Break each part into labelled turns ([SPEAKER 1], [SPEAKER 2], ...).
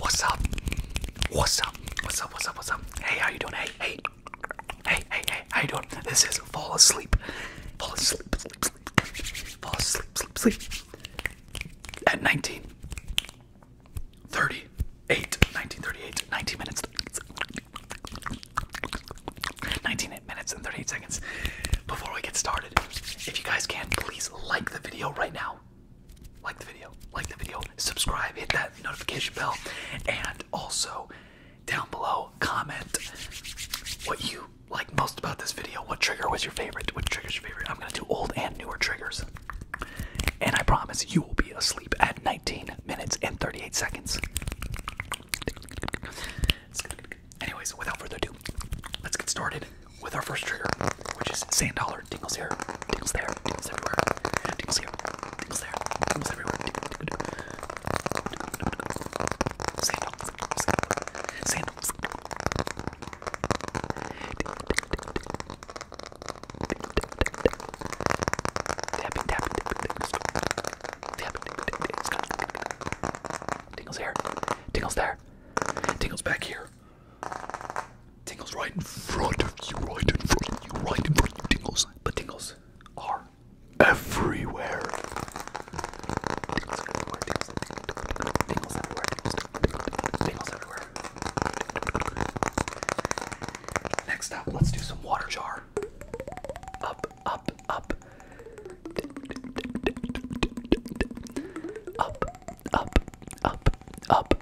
[SPEAKER 1] What's up? What's up? What's up? What's up? What's up? Hey, how you doing? Hey, hey, hey, hey, hey, how you doing? This is fall asleep, fall asleep, sleep, sleep, fall asleep, sleep, sleep. At 19, 38, 1938, 19 minutes, 19 minutes and 38 seconds. Before we get started, if you guys can, please like the video right now like the video, like the video, subscribe, hit that notification bell, and also down below comment what you like most about this video. What trigger was your favorite? What trigger's your favorite? I'm gonna do old and newer triggers. And I promise you will be asleep at 19 minutes and 38 seconds. Anyways, without further ado, let's get started with our first trigger, which is sand dollar. Tingles here, tingles there, tingles everywhere. Tingles here, tingles there, tingles everywhere. Sand dollar, sand dollar, sand Tapping, tapping, tapping, Tingles here, tingles there, tingles back here. Tingles right in front of you, right in front of you, right in front of you, tingles. But tingles are everywhere. Tingles everywhere, tingles, tingles everywhere, tingles everywhere. Next up, let's do some water jar. Up, up, up. Up, up, up, up,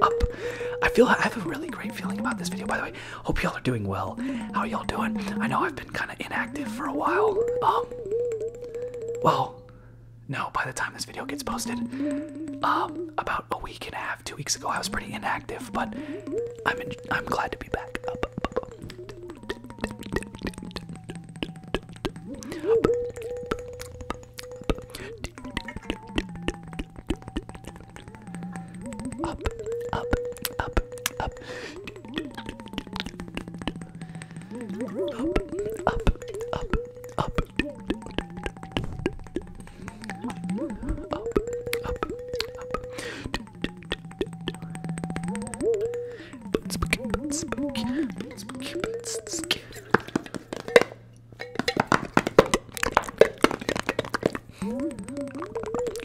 [SPEAKER 1] Up. I feel I have a really great feeling about this video by the way. Hope y'all are doing well. How y'all doing? I know I've been kind of inactive for a while. Um well, no, by the time this video gets posted. Um, about a week and a half, two weeks ago, I was pretty inactive, but I'm I'm glad to be back. Up, up, up, up. Up, up, up, up you're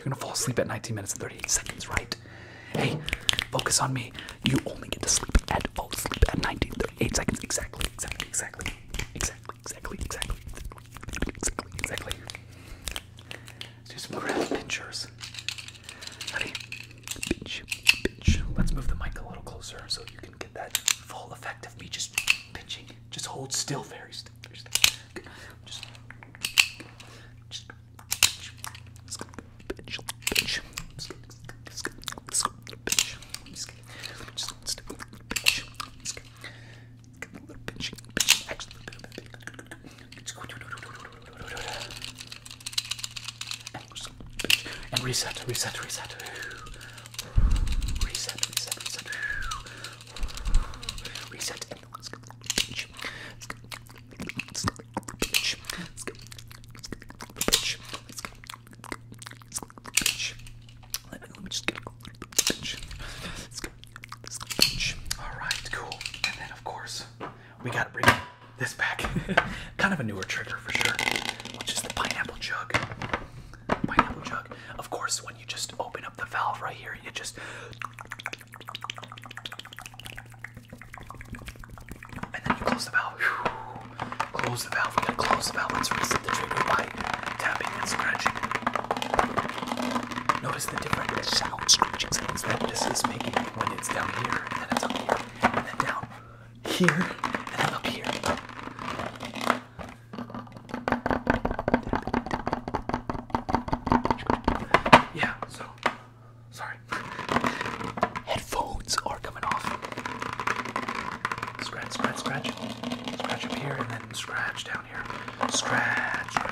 [SPEAKER 1] gonna fall asleep at 19 minutes and 38 seconds, right? Hey, focus on me. You only get to sleep at fall oh, asleep at 19, 38 seconds. Exactly, exactly, exactly, exactly exactly, exactly, exactly, exactly. Let's do some graph pinchers. Ready? Pinch, pinch. Let's move the mic a little closer so you can get that full effect of me just pinching. Just hold still, very still. Very still. Good. Just, just pinch, pinch, pinch. Pinch. Just let's do a little pinch. Let's get, get a little pinching. Pinch. Actually, a little bit of And reset, reset, reset. Reset, reset, reset. Reset. And let's get a little pinch. Let's get a little pinch. Let's get a little pinch. Let's get a little pinch. Let's get a little pinch. Let me, let me just get a little bit of pinch. pinch. Alright, cool. And then, of course, we gotta bring this back. kind of a newer trigger for sure, which is the pineapple jug. Pineapple jug. Of course, when you just open up the valve right here, you just. And then you close the valve. Whew. Close the valve. We gotta close the valve. Let's reset the trigger by tapping and scratching. Notice the different sound scratching sounds that this is making when it's down here, and then it's up here, and then down here, and then up here. Yeah, so sorry. Headphones are coming off. Scratch, scratch, scratch. Scratch up here and then scratch down here. Scratch. scratch.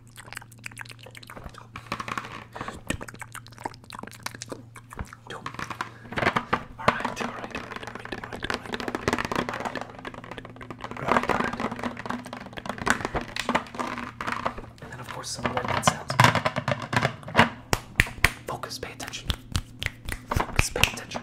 [SPEAKER 1] Alright, alright, alright, alright, alright, alright, alright, alright. And then of course some organ sounds. Focus, pay attention. Focus, pay attention.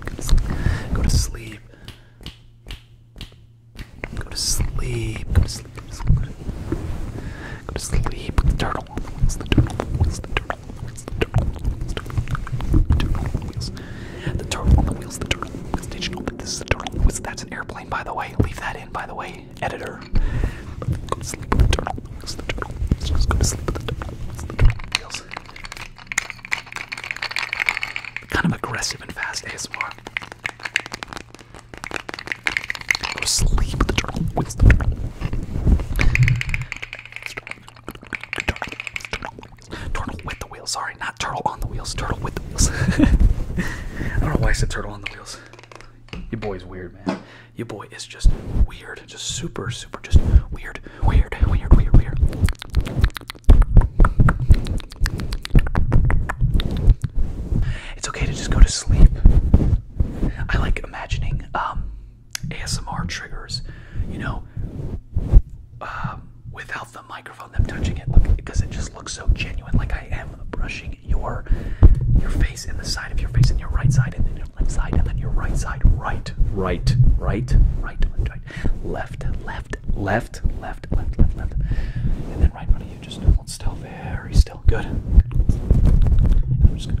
[SPEAKER 1] Go to sleep. Go to sleep. Go to sleep. Go to sleep. Go to sleep with the turtle. Wheels, the turtle. Wheels, the turtle. Wheels, the turtle. Wheels, the turtle. Wheels. The turtle on the wheels. The turtle. Wheels. Did you know that this is a turtle? Wheels. That's an airplane, by the way. Leave that in, by the way, editor. Go to sleep with the turtle. Wheels, the turtle. Just go to sleep with the turtle. Wheels, the turtle. Wheels. Kind of aggressive and fast ASMR. sleep with the turtle. With the turtle. Turtle with the wheels. Sorry, not turtle on the wheels. Turtle with the wheels. I don't know why I said turtle on the wheels. Your boy's weird, man. Your boy is just weird. Just super, super super just weird, weird, weird, weird, weird. It's okay to just go to sleep. I like imagining um, ASMR triggers, you know, uh, without the microphone, them touching it, look, because it just looks so genuine. Like I am brushing your your face and the side of your face, and your right side, and then your left side, and then your right side, right, right, right, right, right left, left, left, left, left, left, left, and then right in front of you. Just hold still, very still. Good. And I'm just gonna.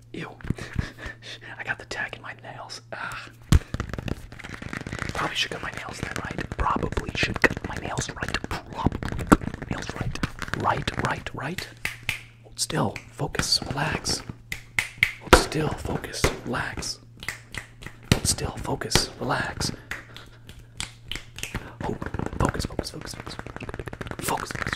[SPEAKER 1] Ew. I got the tag in my nails. Ugh. Ah. Probably should cut my nails right? Probably should cut my nails right. Probably nails right. Right, right, right. Hold still. Focus. Relax. Hold still. Focus. Relax. still. Focus. Relax. Oh, focus, focus, focus. Focus, focus.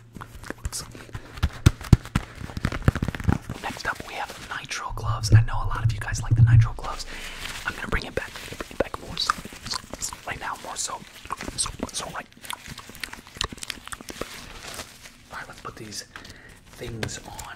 [SPEAKER 1] Next up, we have nitro gloves. I know a lot of you guys like the nitro gloves. I'm gonna bring it back, back more right now, more so, so, so right. All right, let's put these things on.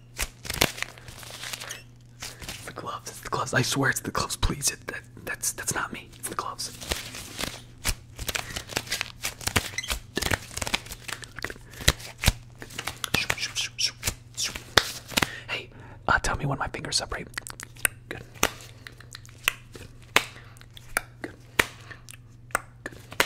[SPEAKER 1] the gloves. It's the gloves. I swear it's the gloves. Please, it, that's that's not me. It's the gloves. Hey, uh, tell me when my fingers separate. Good. Good. Good.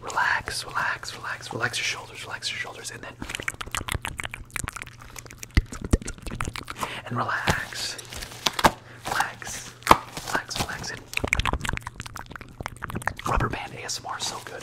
[SPEAKER 1] Relax, relax, relax, relax your shoulders, relax your shoulders, and then and relax. Relax. Relax, relax, rubber band ASMR is so good.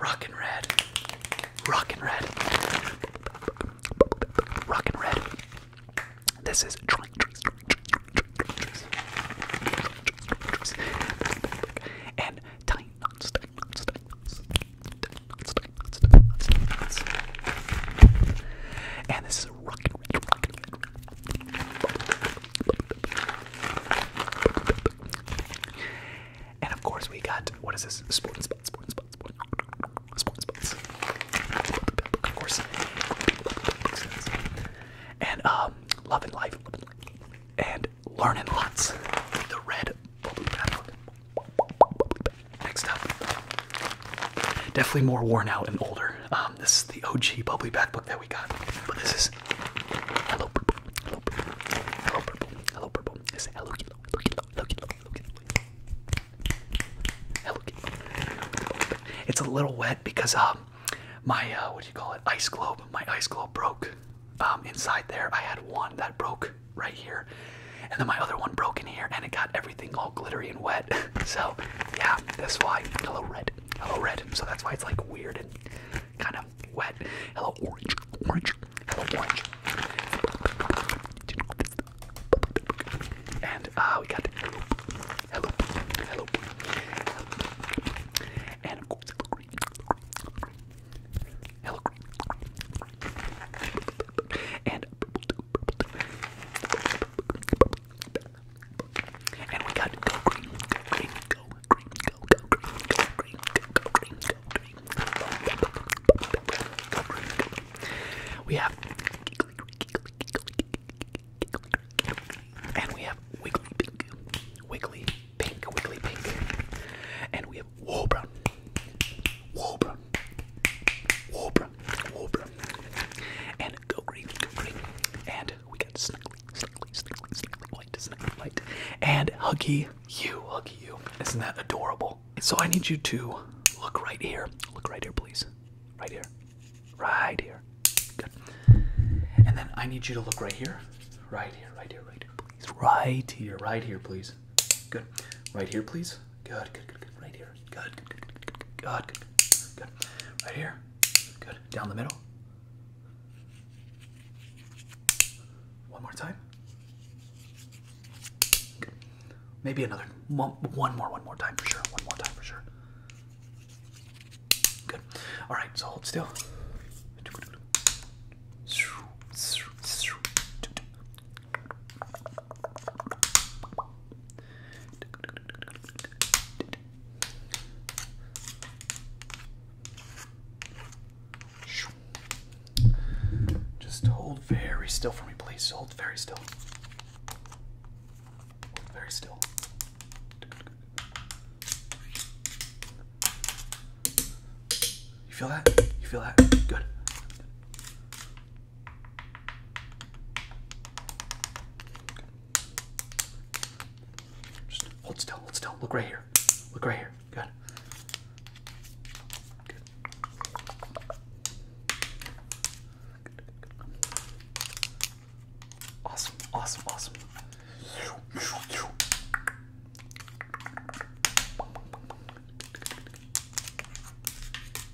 [SPEAKER 1] Rockin' red. Rockin' red. Rockin' red. This is drink, drinks, drinks, and tiny nuts, tiny nuts, tiny nuts, tiny nuts, tiny nuts, tiny nuts, tiny nuts. And this is rockin' red, rockin' red. And of course, we got what is this? Sporting spots, sporting spots, sporting spots, of course. And um, love and life, love and life, and learning lots. The red bubbly bath. Next up, definitely more worn out and older. Um, this is the OG bubbly bath book that we got, but this is hello purple, hello purple, hello purple, hello purple. It's hello yellow, hello it's a little wet because um my uh, what do you call it? Ice globe. My ice globe broke. Um, inside there, I had one that broke right here, and then my other one broke in here, and it got everything all glittery and wet. so yeah, that's why. Hello red. Hello red. So that's why it's like weird and kind of wet. Hello orange. Orange. And uh, we got hello, hello, and of course hello, and and we got go green, go green, go green, Go, go, green, go, green, go, green, go, green. Go, green, go, green. We have giggly, giggly, giggly, giggly, and we have wiggly pink, wiggly pink, wiggly pink, and we have wool brown, wool brown, wool brown, wool brown, and go green, go green, and we got snuggly, snuggly, snuggly, snuggly, white, snuggly, white, and huggy, you, look at you. Isn't that adorable? So I need you to look right here. Look right here, please. Right here. Right here. Good. And then I need you to look right here. Right here, right here, right here, please. Right here, right here, please. Good. Right here, please. Good, good, good, good. Right here. Good, good, good, good, good, good, good, good. Right here. Good. Down the middle. One more time. Maybe another one more, one more time for sure. One more time for sure. Good. All right. So hold still. Just hold very still for me, please. Hold very still. very still. You feel that? You feel that? Good. Just hold still, hold still. Look right here. Look right here. Good. Good. Awesome, awesome, awesome.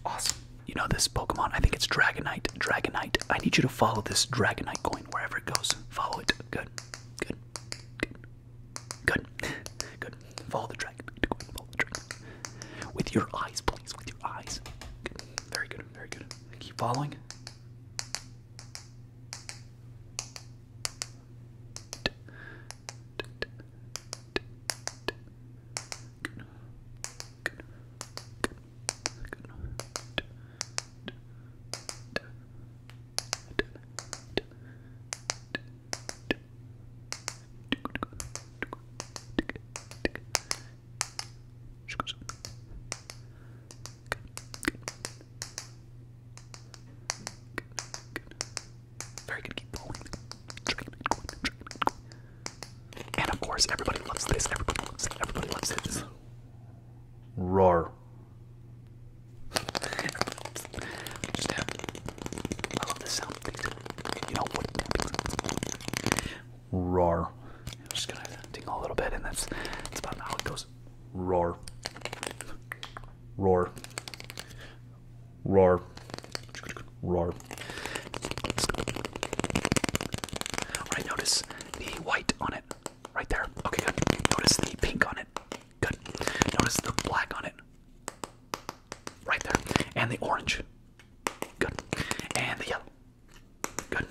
[SPEAKER 1] Awesome. You know this Pokemon, I think it's Dragonite. Dragonite. I need you to follow this Dragonite coin wherever it goes. Follow it. Good. Good. Good. Good. Good. Follow the dragon. Follow the dragon. With your eyes, please. With your eyes. Good. Very good. Very good. Keep following. Very good, And of course, everybody loves this. Everybody loves it. Everybody loves this. Roar. I Roar. am just gonna tingle a little bit, and that's about how it goes. Roar. Roar. Roar. Roar. Alright, notice the white on it. Right there. Okay, good. Notice the pink on it. Good. Notice the black on it. Right there. And the orange. Good. And the yellow. Good.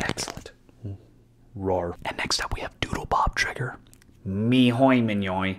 [SPEAKER 1] Excellent. Roar. And next up we have Doodle Bob Trigger. Me hoy mignoy.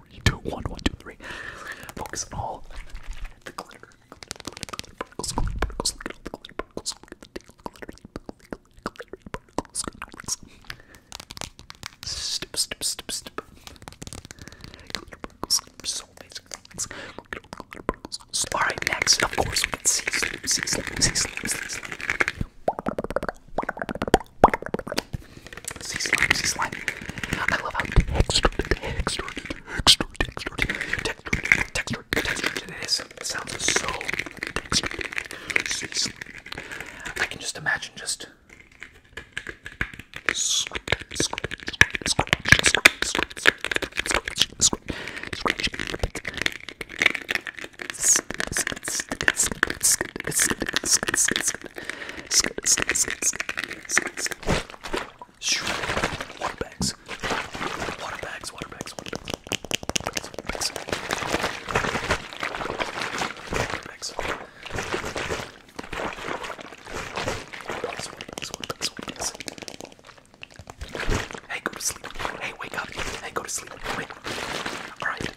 [SPEAKER 1] three, two, one, one, two, three. Focus on all the glitter. Particles, glitter particles, look at all the glitter particles, look at the glitter, glitter particles, glitter particles. Stip, stip, stip, stip. Glitter particles, so amazing. Thanks. Look at all the glitter particles. Alright, next, of course, we can see, see, see, see, see, see, see. See slime, see slime. I love how textured, textured, textured, textured, textured, textured, textured it is. It sounds so textured. See slime. I can just imagine just scratch, scratch, scratch, scratch, scratch, scratch, scratch, scratch, Scoot, scoot, scoot, scoot, scoot, scoot. Water bags. Water bags, water bags, water bags. Water bags. Water bags. Hey, go to sleep. Hey, wake up. Hey, go to sleep. Wait. All right.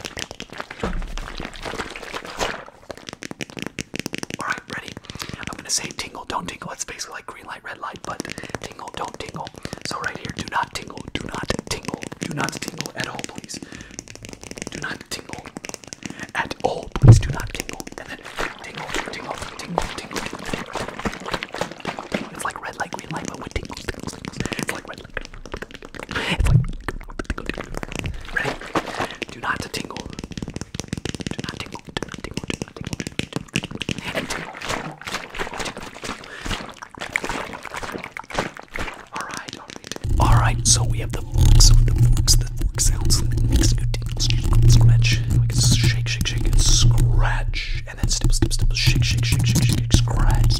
[SPEAKER 1] Alright, ready? I'm gonna say tingle, don't tingle. It's basically like green light, red light, but tingle, don't tingle. So right here, do not tingle, do not tingle, do not tingle at all, please. Do not tingle at all, please do not tingle. And then tingle, tingle, tingle, tingle. It's like red light, green light, but with tingles, tingles, tingles. It's like red light. Do not to tingle. Alright, alright. so we have the forks, the forks, the fork sounds that makes you tingle, scratch. We can shake, shake, shake, scratch. And then step, step, step, shake, shake, shake, shake, scratch.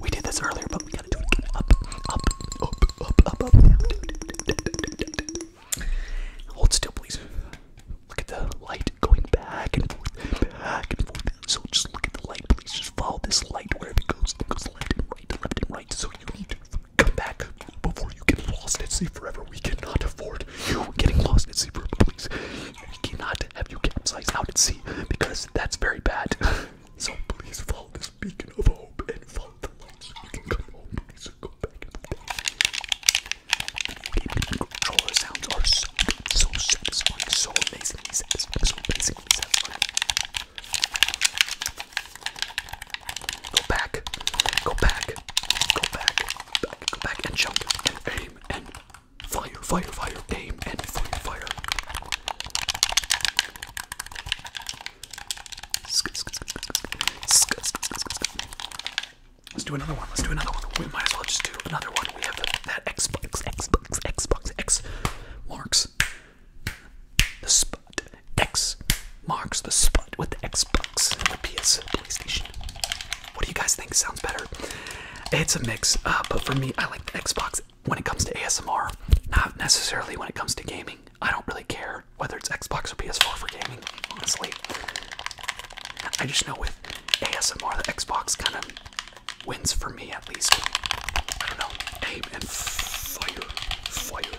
[SPEAKER 1] We did this earlier, but we gotta do it again. Up, up, up, up, up, up. Hold still, please. Look at the light going back and forth, back and forth. So just look at the light, please. Just follow this light wherever it goes. It goes left and right, left and right. So you need to come back before you get lost at sea forever. We cannot afford you getting lost at sea forever, please. We cannot have you capsize out at sea because that's very bad. so please follow this beacon of hope and follow the lights so you can come home. Please go back in Controller sounds are so good, so satisfying, so amazingly so amazingly Go back, go back, go back, back go back and jump and aim and Fire, fire, fire, aim, and fire, fire. Let's do another one. Let's do another one. We might as well just do another one. We have that Xbox, Xbox, Xbox, X marks the spot. X marks the spot with the Xbox PS PlayStation. What do you guys think sounds better? It's a mix, uh, but for me, I like the Xbox when it comes to ASMR, not necessarily when it comes to gaming. I don't really care whether it's Xbox or PS4 for gaming, honestly. I just know with ASMR, the Xbox kind of wins for me at least. I don't know. Aim and fire, fire.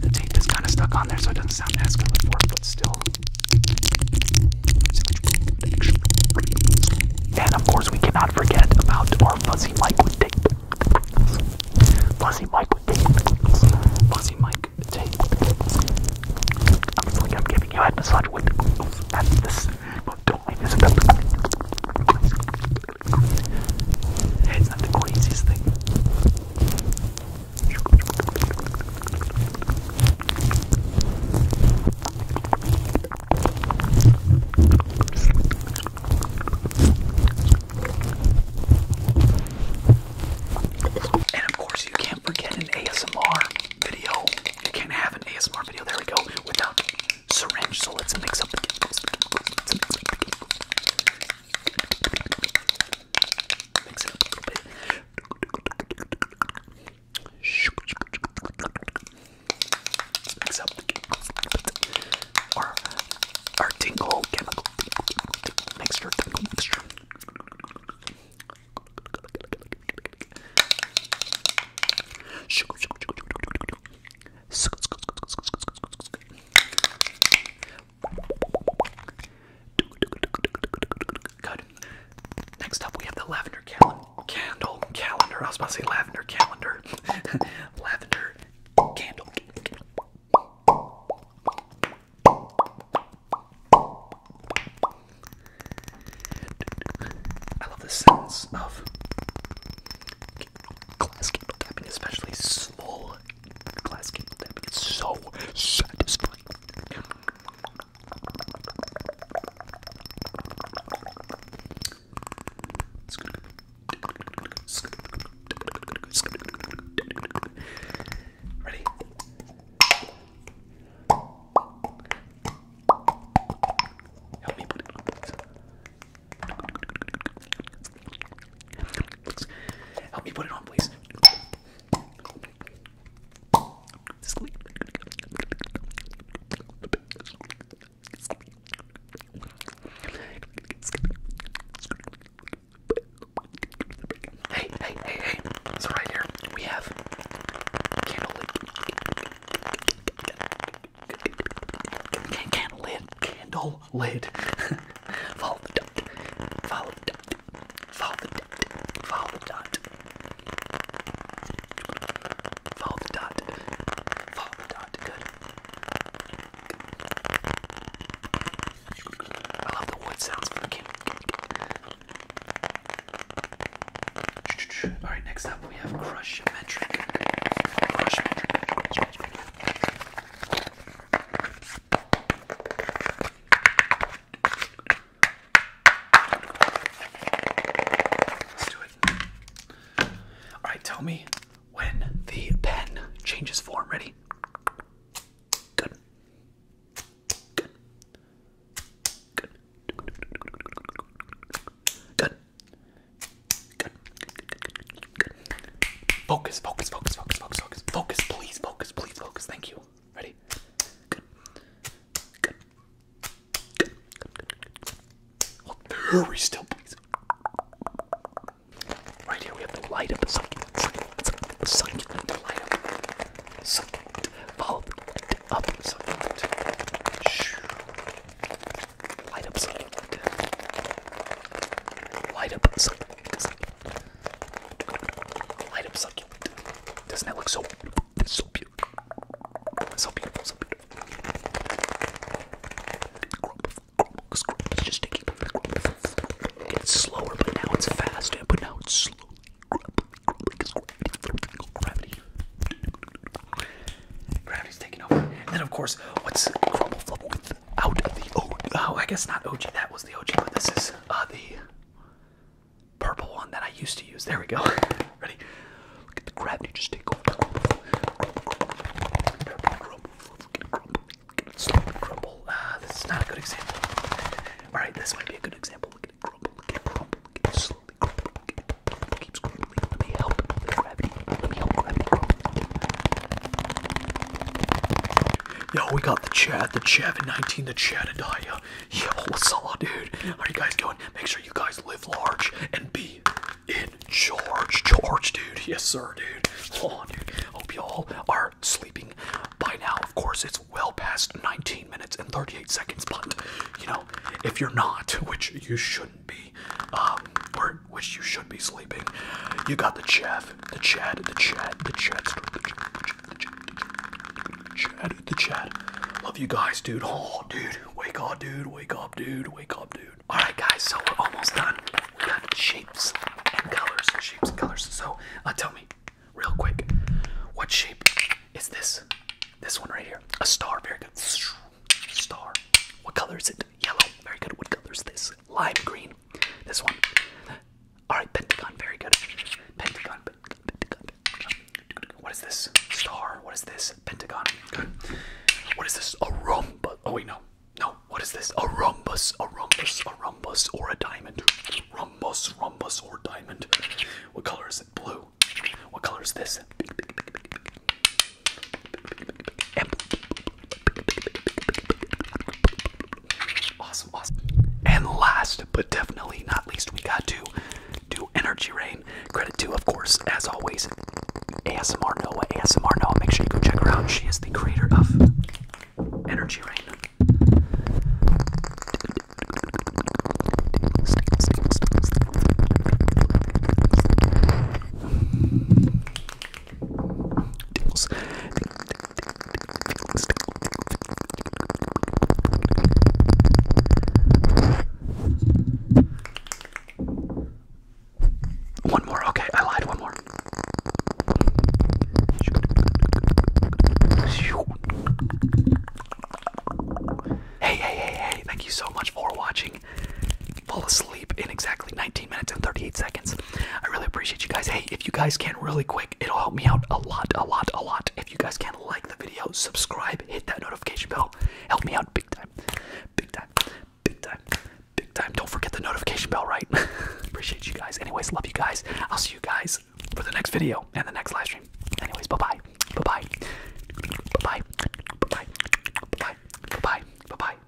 [SPEAKER 1] The tape is kind of stuck on there, so it doesn't sound as good with four foot still. And of course, we cannot forget about our fuzzy mic with tape. Fuzzy mic with tape. Fuzzy mic tape. Obviously, I'm giving you a head massage with. That's this. But don't leave this. It's not the craziest thing. And of course, you can't forget an ASMR video. You can't have an ASMR video, there we go, without syringe. So let's mix up the giggles. Mix it up a little bit. Mix up the chemicals our, our tingle chemical mixture, tingle mixture. Next up, we have the lavender candle calendar. I was about to say lavender calendar. lavender candle. I love the sense of glass candle tapping, especially small glass candle tapping, it's so satisfying. Ready? Help me put it Help me put it on, please. Hey, hey, hey, hey. So right here we have candle lit candle lit candle lid. Follow the dot. Follow the dot. Follow the dot. Follow the dot. Follow the dot. Follow the dot. Good. I love the wood sounds Alright, next up we have Crush Metric. Let's do it. Alright, tell me when the pen changes form. Ready? Good. Good. Good. Good. Focus, focus, focus, focus, focus, focus. Focus, please, focus, please, focus. Thank you. Ready? very still, please. Right here we have light of the succulent. Succulent. The succulent. light of the succulent. light up the succulent. Light up succulent. Light because like, light up succulent. Doesn't that look so it's so beautiful? So beautiful, so beautiful. Grump, grump, grump. It's just taking It's slower, but now it's fast, but now it's slowly. Grump, grump, grump. Gravity. Gravity's taking over. And then of course, what's crumble flubble? out of the oh, I guess not OG. That was the OG, but this is uh, the purple one that I used to use. There we go. Ready? Look at the gravity just take uh, this is not a good example. All right, this might be a good example. Look at it crumble. Look at it crumble. Look at it slowly crumble. Let me help Let me help Yo, we got the Chad, the Chad in 19, the Chad and Daya. Yo, what's up, dude? How are you guys doing? Make sure you guys live large and be in charge. Charge, dude. Yes, sir, dude. Oh, dude. Hope y'all are sleeping by now. Of course, it's well past 19 minutes and 38 seconds, but you know, if you're not, which you shouldn't be, um, we which you should be sleeping. You got the chef, the chat, the chat, the chat, the chat, the chat, the chat, the chat. Love you guys, dude. Oh, dude, wake up, dude. Wake up, dude. Wake up, dude. All right, guys. So we're almost done. We got shapes and colors, shapes and colors. So uh, tell me, real quick, what shape is this? This one right here. A star. Very good. Star. What color is it? Yellow. Very good. What color is this? is lime green. This one. Alright, Pentagon, very good. Pentagon, Pentagon. What is this? Star. What is this? Pentagon. Good. What is this? A rhombus. Oh, wait, no. No. What is this? A rhombus. A rhombus. A rhombus or a diamond. Rhombus, rhombus or diamond. What color is it? Blue. What color is this? And last but definitely not least, we got to do Energy Rain. Credit to, of course, as always, ASMR Noah. ASMR Noah, make sure you go check her out. She is the creator of Energy Rain. One more, okay, I lied, one more. Hey, hey, hey, hey, thank you so much for watching. Fall asleep sleep in exactly 19 minutes and 38 seconds. I really appreciate you guys. Hey, if you guys can really quick, it'll help me out a lot, a lot, a lot. If you guys can like the video, subscribe, hit that notification bell, help me out big time, big time, big time, big time. Don't forget the notification bell, right? appreciate you guys. Anyways, love you guys. I'll see you guys for the next video and the next live stream. Anyways, bye bye, bye bye, bye bye, bye bye, bye bye, bye bye.